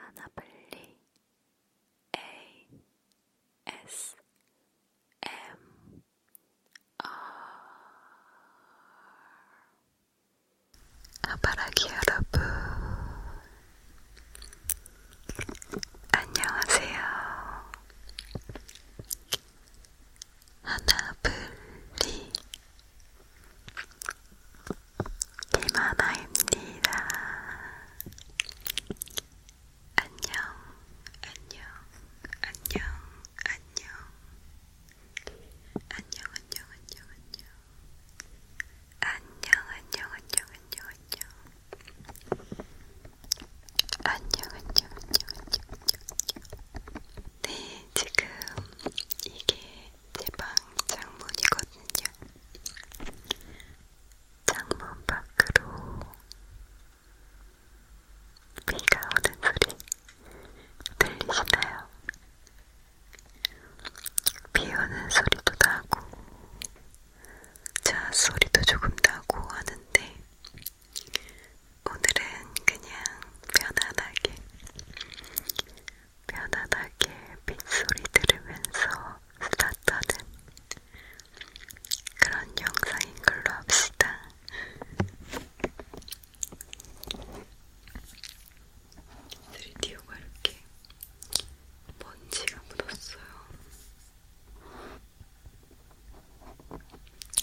하나블리 A S M R 아바라기 여러분 안녕하세요. 하나블리 이만화입니다. 안녕, 안녕, 안녕, 안녕. 안녕, 안녕, 안녕, 안녕. 안녕, 안녕, 안녕, 안녕, 안녕. 안녕, 안녕, 안녕, 안녕, 안녕. 네, 지금 이게 제방 창문이거든요. 창문 밖으로 비가 오는 소리 들리시나요? 비 오는 소리도 나고 자 소리도 조금 나고 하는데 오늘은 그냥 편안하게 편안하게 빗소리 들으면서 수다 떠는 그런 영상인 걸로 합시다. 드디오가 이렇게 먼지가 묻었어요.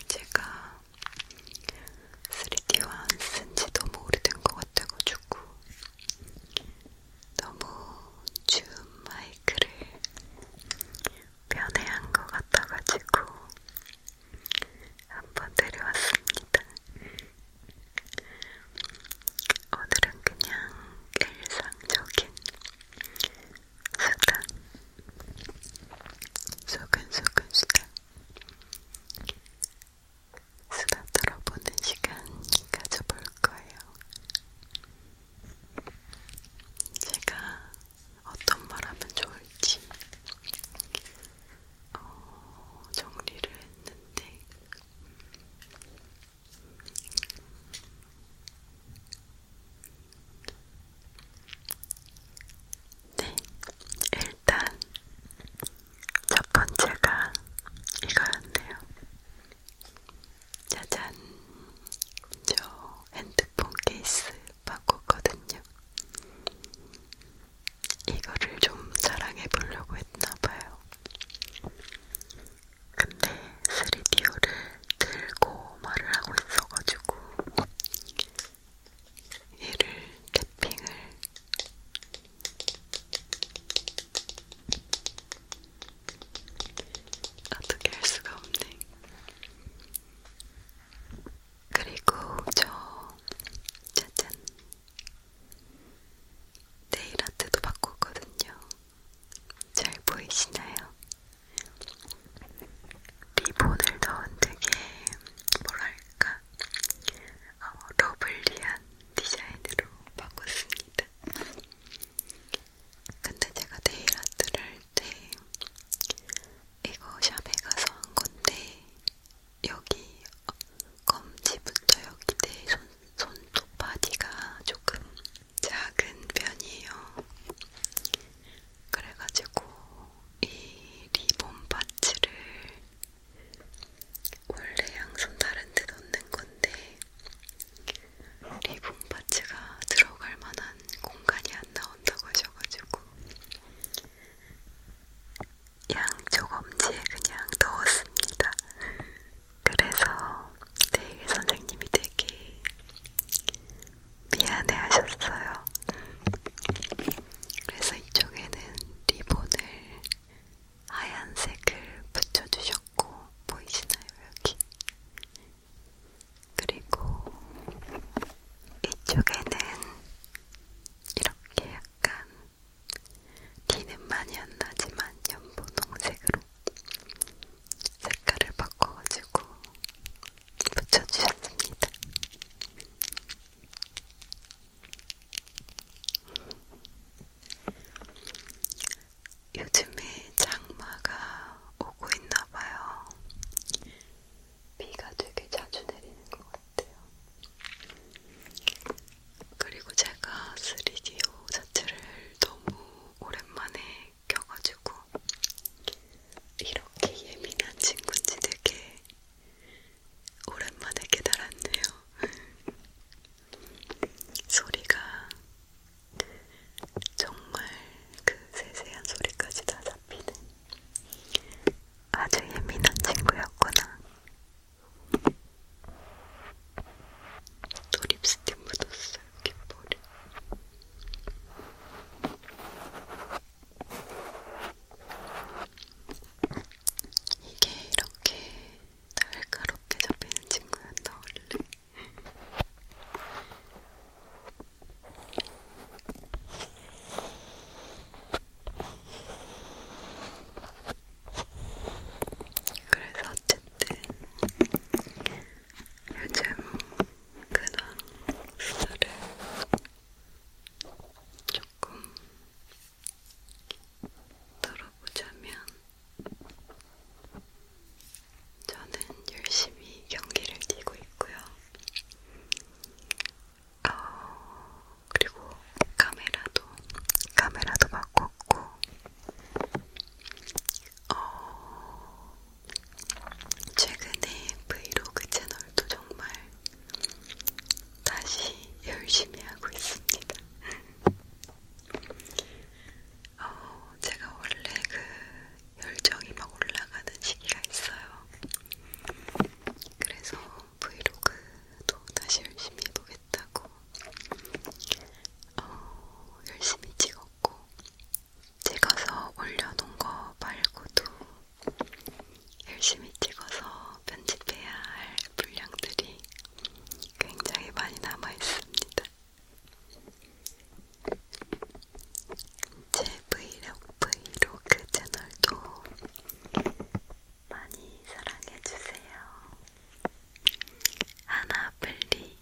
제가 3D와 안쓴지 너무 오래된 것 같아가지고 너무 줌 마이크를 변해한 것 같아가지고 한번 데려왔습니다. 오늘은 그냥 일상적인 수다, 소근소근 수다. 수다 떨어보는 시간 가져볼 거예요. 제가 어떤 말 하면 좋을지 어, 정리를 했는데 네, 일단 첫 번째가 이거였네요. 짜잔, 저 핸드폰 케이스 바꿨거든요. 이거를 좀 자랑해 보려고 했나봐요. 근데 3DO를 들고 말을 하고 있어가지고 얘를 탭핑을 어떻게 할 수가 없네. 그리고 저 짜잔 네일아트도 바꿨거든요. 잘 보이시나요? 리본을 넣은 되게 뭐랄까 어, 러블리한 디자인으로 바꿨습니다. 근데 제가 네일 아트를 할 때 이거 샵에 가서 한 건데 여기 어, 검지부터 여기 내 손, 손톱 바디가 조금 작은 편이에요. 그래가지고 이 리본 파츠를 원래 양손 다른 데 넣는 건데 리본 파츠가 들어갈 만한 공간이 안 나온다고 하셔가지고 양쪽 엄지에 그냥 넣었습니다. 그래서 내일 선생님이 되게 미안해 하셨어요. 그래서 이쪽에는 리본을 하얀색을 붙여주셨고, 보이시나요? 여기. 그리고 이쪽에는 이렇게 약간 티는 많이 안 나지만 연보동색으로 색깔을 바꿔가지고 붙여주셨습니다. 요즘에 장마가 오고 있나봐요. 비가 되게 자주 내리는 것 같아요. 그리고 제가 3DO 자체를 너무 오랜만에 껴가지고 이렇게 예민한 친구인지 되게 오랜만에 깨달았네요. 소리가 정말 그 세세한 소리까지 다 잡히는 아주 예민한 친구였구나. 또 립스틱 묻었어요, 귓볼에. 이게 이렇게 날카롭게 잡히는 친구였다 원래. 그래서 어쨌든 요즘 그냥 수다를 조금 들어보자면 저는 열심히 경기를 뛰고 있고요. 어, 그리고 카메라도 카메라도 바꿨고 어, 최근에 브이로그 채널도 정말 다시 열심히 하고 있습니다. 어, 제가 원래 그 열정이 막 올라가는 시기가 있어요. 그래서 브이로그도 다시 열심히 해보겠다고 어, 열심히 찍었고 찍어서 올려놓은 거 말고도 열심히 찍어서 편집해야 할 분량들이 굉장히 많이 남아 있습니다. 제 브이로그, 브이로그 채널도 많이 사랑해주세요. 하나블리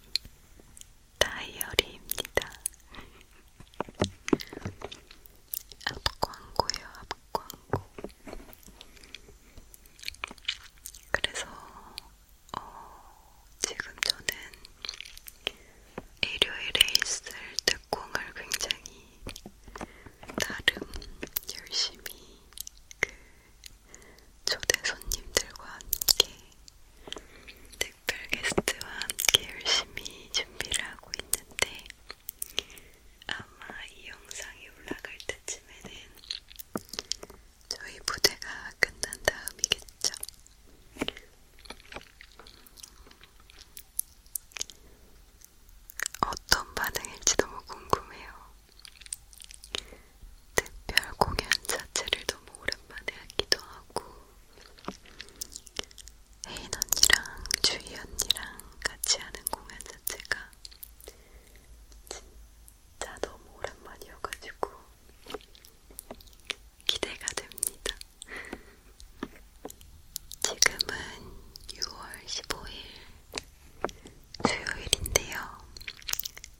다이어리입니다. 앞광고요, 광고. 그래서 어, 지금 저는 일요일에 있을 특공을 굉장히 나름 열심히 그 초대 손님들과 함께 특별 게스트와 함께 열심히 준비를 하고 있는데 아마 이 영상이 올라갈 때쯤에는 저희 무대가 끝난 다음이겠죠. 어떤 반응일지 너무 궁금해요. 특별 공연 자체를 너무 오랜만에 하기도 하고 혜인 언니랑 주희 언니랑 같이 하는 공연 자체가 진짜 너무 오랜만이어가지고 기대가 됩니다. 지금은 6월 15일 수요일인데요.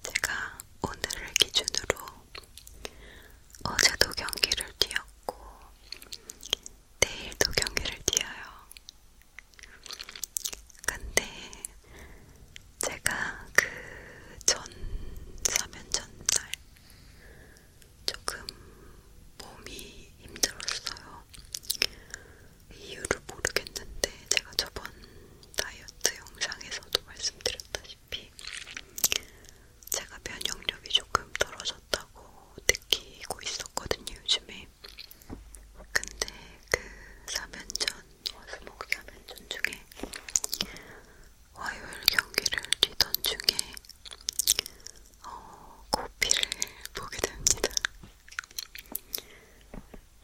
제가 오늘을 기준으로 어제도 경기를 뛰었고 내일도 경기를 뛰어요. 근데 제가 그 전 사면 전날 조금 몸이 힘들었어요. 이유를 모르겠는데 제가 저번 다이어트 영상에서도 말씀드렸다시피 제가 면역력이 조금 떨어졌다 있다고 느끼고 있었거든요, 요즘에. 근데 그 사면전, 수목 사면전 중에 화요일 경기를 뛰던 중에 어, 코피를 보게 됩니다.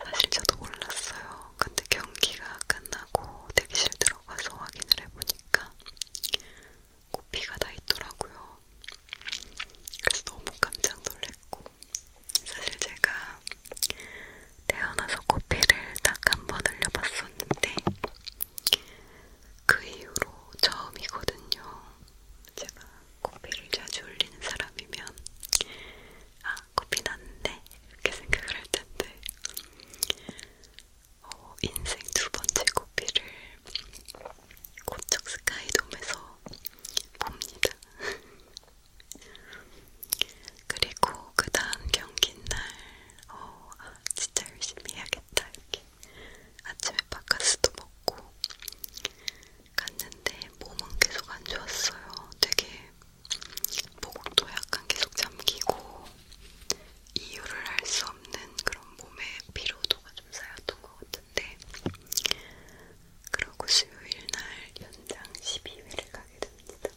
사실 저도 몰랐어요. 근데 경기가 끝나고 대기실 들어가서 확인을 해보니까 코피가 나 있더라고요. 그래서 너무 깜짝 놀랐고 사실 제가 태어나서 코피를 딱 한번 흘려봤었는데 그 이후로 처음이거든요. 제가 코피를 자주 흘리는 사람이면 아 코피 났는데 이렇게 생각을 할 텐데 어, 인생 두 번째 코피를 고척 스카이돔에서 봅니다. 그리고 그 다음 경기 날, 어, 아, 진짜 열심히 해야겠다. 이렇게 아침에 바카스도 먹고 갔는데 몸은 계속 안 좋았어요. 되게 목도 약간 계속 잠기고 이유를 알 수 없는 그런 몸의 피로도가 좀 쌓였던 것 같은데 그러고 수요일 날 연장 12회를 가게 됩니다.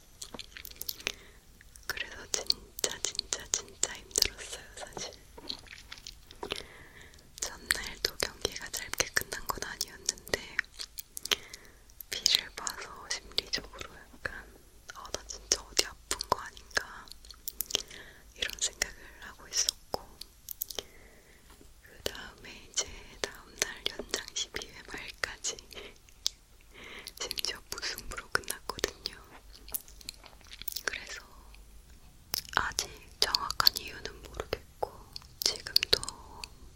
그래서 진짜 진짜 진짜 힘들었어요 사실. 전날도 경기가 짧게 끝난 건 아니었는데 비를 봐서 심리적으로 약간 아나 진짜 어디 아픈 거 아닌가 이런 생각을 하고 있었고 있었고 그 다음에 이제 다음날 연장 12회 말까지 심지어 무승부로 끝났거든요. 그래서 아직 정확한 이유는 모르겠고 지금도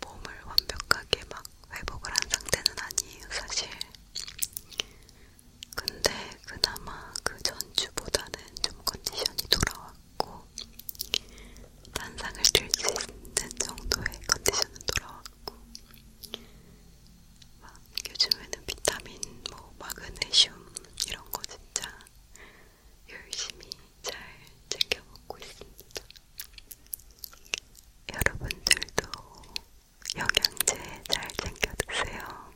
몸을 완벽하게 막 회복을 한 상태는 아니에요, 사실. 근데 그나마 그 전주보다는 좀 컨디션이 돌아왔고 단상을 들수 있는 정도의 컨디션은 돌아왔고 막 요즘에는 비타민, 뭐 마그네슘 이런 거 진짜 열심히 잘 챙겨 먹고 있습니다. 여러분들도 영양제 잘 챙겨 드세요.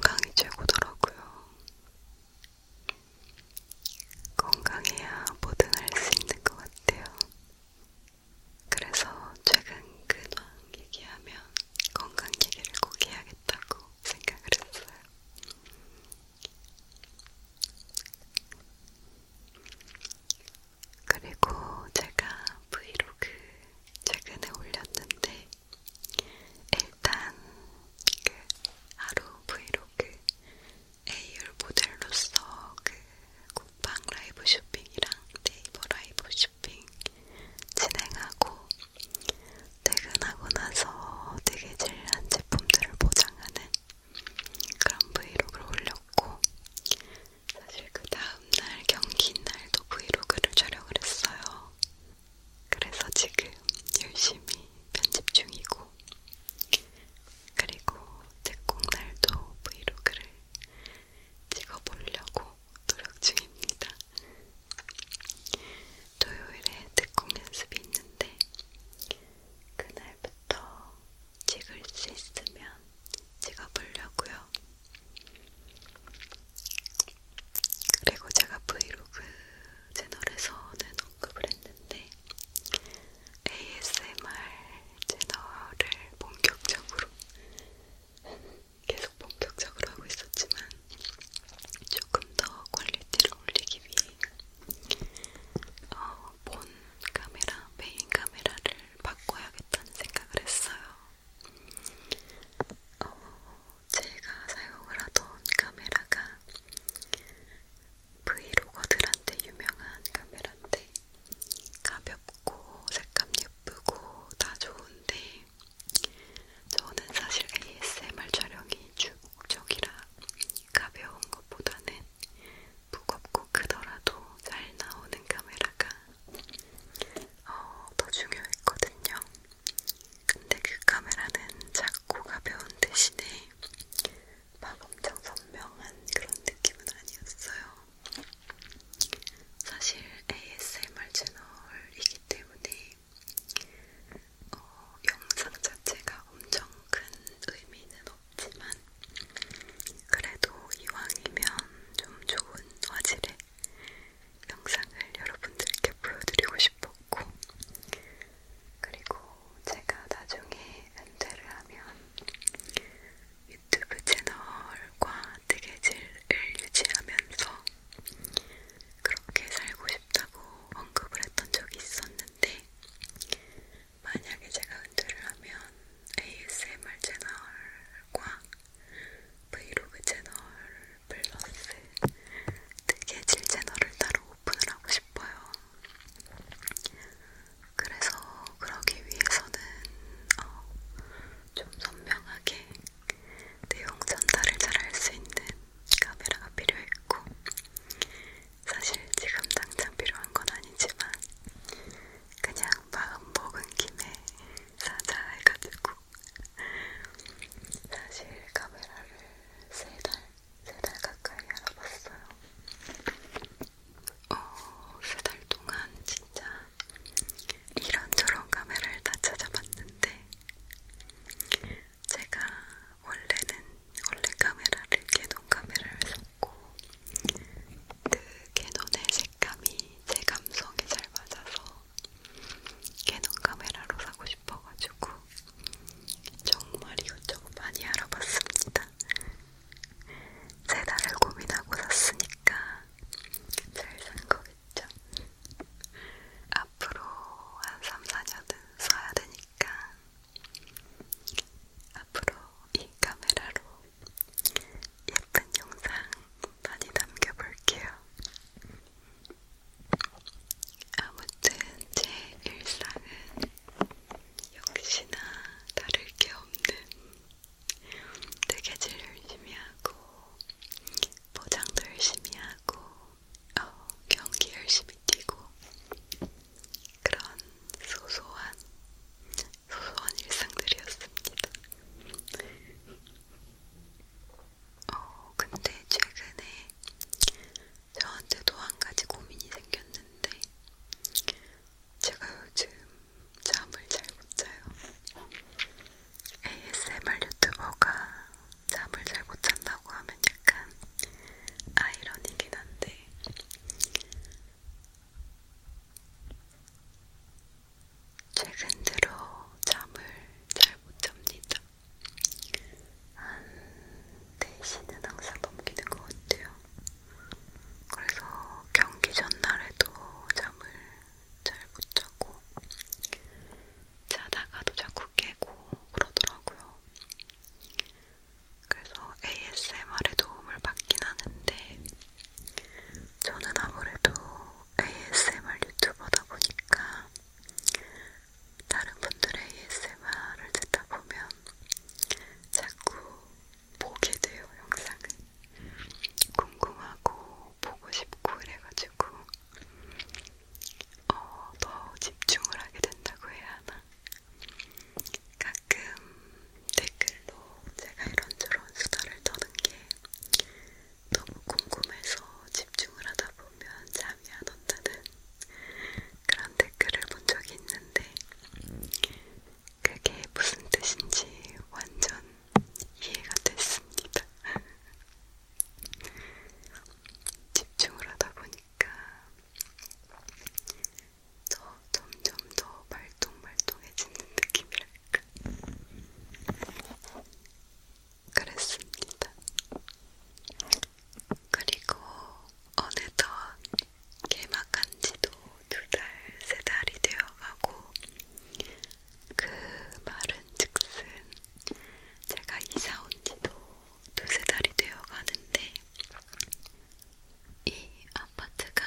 건강이 최고더라고요. 건강해야 뭐든 할 수 있는 것 같아요. 그래서 최근 근황 얘기하면 건강 얘기를 꼭 해야겠다고 생각을 했어요. 그리고 제가 브이로그 최근에 올렸는데 일단 그 하루 브이로그 A열 모델로서 그 국방 라이브 쇼핑이랑 네이버 라이브 쇼핑 진행하고 퇴근하고 나서 되게 질한 제품들을 보장하는 그런 브이로그를 올렸고 사실 그 다음 다음날 경기 날도 브이로그를 촬영을 했어요. 그래서 지금 열심히 편집 중이고, 그리고 특공 날도 브이로그를 찍어보려고 노력 중입니다. 토요일에 특공 연습이 있는데, 그날부터 찍을 수 있으면 찍어보려고요. 그리고 제가 브이로그 채널에서는 언급을 했는데 ASMR 채널을 본격적으로 계속 본격적으로 하고 있었지만 조금 더 퀄리티를 올리기 위해 어, 본 카메라, 메인 카메라를 바꿔야겠다는 생각을 했어요. 어, 제가 사용을 하던 카메라가 브이로거들한테 유명한 카메라인데 가볍고 색감 예쁘고 다 좋은데 저는 사실 ASMR 촬영이 주 목적이라 가벼운 것보다는 무겁고 크더라도 잘 나오는 카메라가 어, 더 중요했거든요. 근데 그 카메라는 작고 가벼운 대신에 막 엄청 선명한 그런 느낌은 아니었어요. 사실 ASMR 채널이기 때문에 어, 영상 자체가 엄청 큰 의미는 없지만 그래도 이왕이면 좀 좋은 화질의 영상을 여러분들께 보여드리고 싶었고, 그리고 제가 나중에 은퇴를 하면 유튜브 채널과 뜨개질을 유지하면서 그렇게 살고 싶다고 언급을 했던 적이 있었는데, 만약에 제가 은퇴를 하면 ASMR 채널과 브이로그 채널 플러스 뜨개질 채널을 따로 오픈을 하고 싶어요. 그래서 그러기 위해서는 어, 좀 선명하게 내용 전달을 잘 할 수 있는 카메라가 필요했고 사실 지금 당장 필요한 건 아니지만 그냥 마음 먹은 김에 사자해가지고 사실 카메라를 세달세달 달 가까이 알아봤어요. 어, 세 달 동안 진짜 이런저런 카메라를 다 찾아봤는데 제가 원래는 원래 카메라를 개논 카메라를 썼고 그 개논의 색 식감이 제 감성에 잘 맞아서 캐논 카메라로 사고 싶어가지고 정말 이것저것 많이 알아봤습니다. 세 달을 고민하고 샀으니까 잘 산 거겠죠. 앞으로 한 3, 4년은 써야 되니까 앞으로 이 카메라로 예쁜 영상 많이 남겨볼게요. 아무튼 제 일상은 역시나 다를 게 없는 뜨개질 열심히 하고 포장도 열심히 하고 어, 경기 열심히 뛰고 그런 소소한 소소한 일상들이었습니다. 어, 근데 최근에 저한테도 한 가지 고민이 생겼는데, 제가 요즘 잠을 잘 못 자요. ASMR 유튜버가 잠을 잘 못 잔다고 하면 약간 아이러니긴 한데, 최근 들어 잠을 잘 못 잡니다. 한 4시는 항상 넘기는 것 같아요. 그래서 경기 전날에도 잠을 잘 못 자고 자다가도 자꾸 깨고 그러더라고요. 그래서 ASMR에 도움을 받긴 하는데 저는 아무래도 ASMR 유튜버다 보니까 다른 분들의 ASMR을 듣다 보면 자꾸 보게 돼요, 영상을. 궁금하고 보고 싶고 이래가지고 어, 더 집중을 하게 된다고 해야 하나? 가끔 댓글로 제가 이런저런 수다를 떠는 게 너무 궁금해서 집중을 하다 보면 잠이 안 온다는 그런 댓글을 본 적이 있는데 그게 무슨 뜻인지 완전 이해가 됐습니다. 집중을 하다 보니까 저 점점 더 말똥말똥해지는 느낌이랄까. 그랬습니다. 그리고 어느덧 개막한 지도 두 달, 세 달이 되어가고 그 말은 즉슨 제가 이사 온 지도 두 세 달이 되어가는데 이 아파트가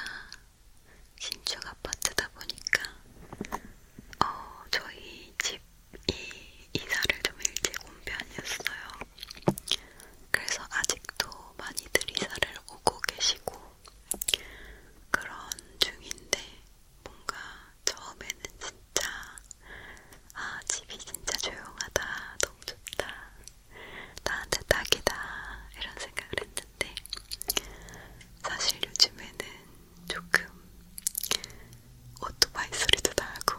신축 아파트다 보니까 어, 저희 집이 이사를 좀 일찍 온 편이었어요. 그래서 아직도 많이들 이사를 오고 계시고 그런 중인데 뭔가 처음에는 진짜 아 집이 진짜 조용하다 너무 좋다 나한테 딱이다 이런 생각을 했는데 했는데 사실 요즘에는 조금 오토바이 소리도 나고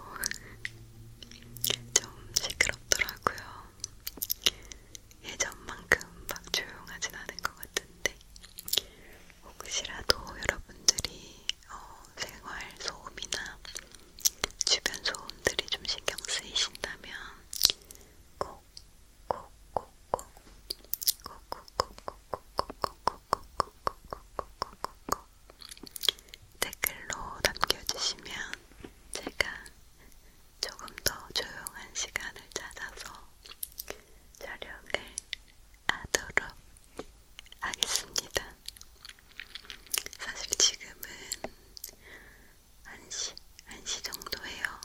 좀 시끄럽더라고요. 예전만큼 막 조용하진 않은 것 같은데 혹시라도 여러분들이 어, 생활 소음이나 주변 소음들이 좀 신경 쓰이신다면 꼭 댓글로 남겨주시면 제가 조금 더 조용한 시간을 찾아서 촬영을 하도록 하겠습니다. 사실 지금은 1시, 1시 정도예요.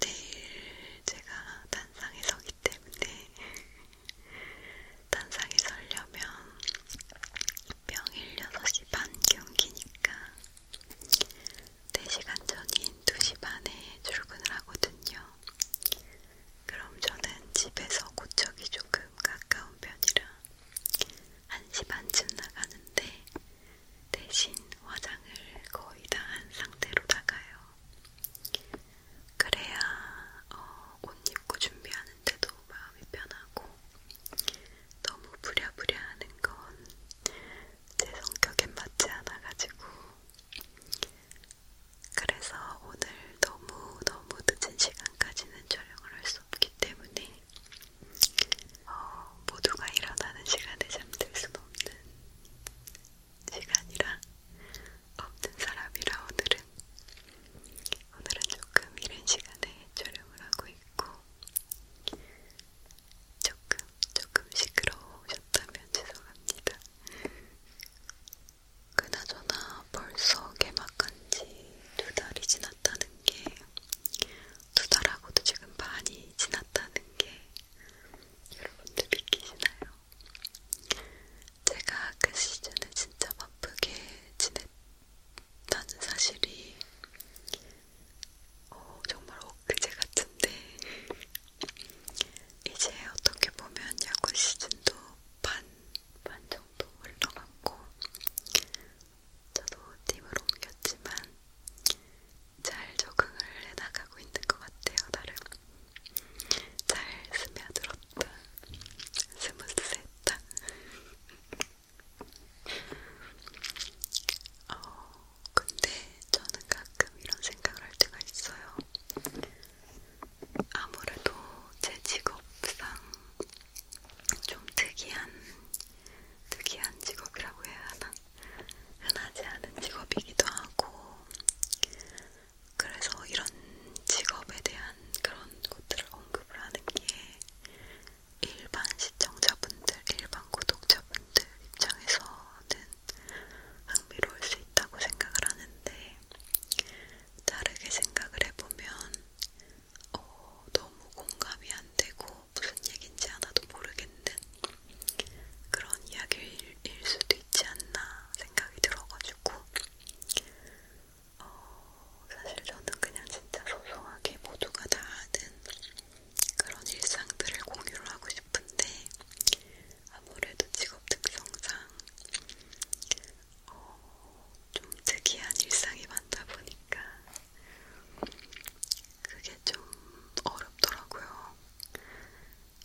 내일 제가 단상에 서기 때문에 단상에 서려면 명일 6시 반 경기니까 4시간 전인 2시 반에 출근을 하거든요. 그럼 저는 집에서 고척이 조금 가까운 편이라 1시 반쯤 나가는데 대신 화장을 거의 다 한 상태로 나가요. 그래야 어, 옷 입고 준비하는데도 마음이 편하고 너무 부랴부랴 하는 건 제 성격엔 맞지 않아가지고 그래서 오늘 너무너무 늦은 시간까지는 촬영을 할 수 없기 때문에 어, 모두가 일어나는 시간에 잠들 수 없는 시간이라 없는 사람이라 오늘은 오늘은 조금 이른 시간에 촬영을 하고 있고 조금 조금 시끄러우셨다면 죄송합니다. 그나저나 벌써 개막한지 두 달이 지났다는 게 두 달하고도 지금 반이 지났다는 게 여러분들 믿기시나요? 제가 그 시즌에 진짜 바쁘게 지냈다는 사실이 어, 정말 엊그제 같은데 이제 어떻게 보면 야구 시즌도 반, 반 정도 올라갔고 저도 팀을 옮겼지만 잘 적응을 해나가고 있는 것 같아요. 나름 잘 스며들었다. 스무스했다. 어, 근데 저는 가끔 이런 생각을 할 때가 있어요. 아무래도 제 직업상 좀 특이한, 특이한 직업이라고 해야 하나? 흔하지 않은 직업이기도 하고 그래서 이런 직업에 대한 그런 것들을 언급을 하는 게 일반 시청자분들, 일반 구독자분들 입장에서는 흥미로울 수 있다고 생각을 하는데 다르게 생각을 해보면 어, 너무 공감이 안 되고 무슨 얘긴지 하나도 모르겠는 그런 이야기일 수도 있지 않나 생각이 들어가지고 어, 사실 저는 그냥 진짜 소소하게 모두가 다 아는 그런 일상들을 공유를 하고 싶은데 아무래도 직업 특성상 어, 좀 특이한 일상이 많다 보니까 그게 좀 어렵더라고요.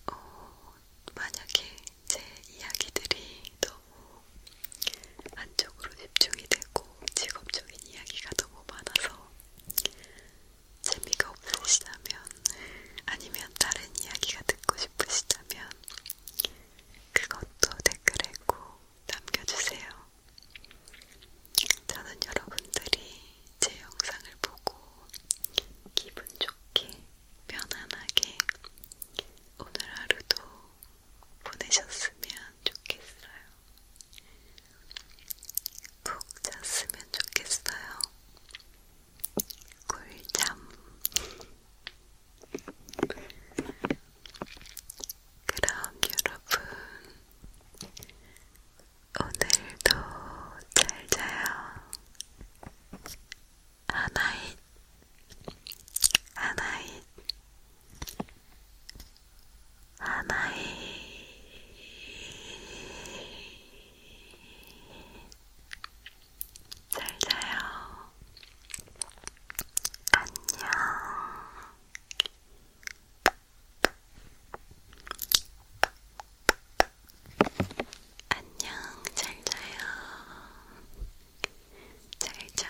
어, 만약에 제 이야기들이 너무 한쪽으로 집중이 되고 직업적인 이야기가 너무 많아서 재미가 없으시다면 아니면 다른 이야기가 듣고 싶으시다면 그것도 댓글에 꼭 남겨주세요. 저는 여러분들이 제 영상을 보고 기분 좋게, 편안하게 오늘 하루도 보내셨으면 좋겠어요. 푹 잤으면 좋겠어요. 꿀잠. 그럼 여러분, 오늘도 잘 자요. 하나잇, 하나잇, 하나잇. 잘 자요. 안녕. 안녕, 잘 자요. 잘 자.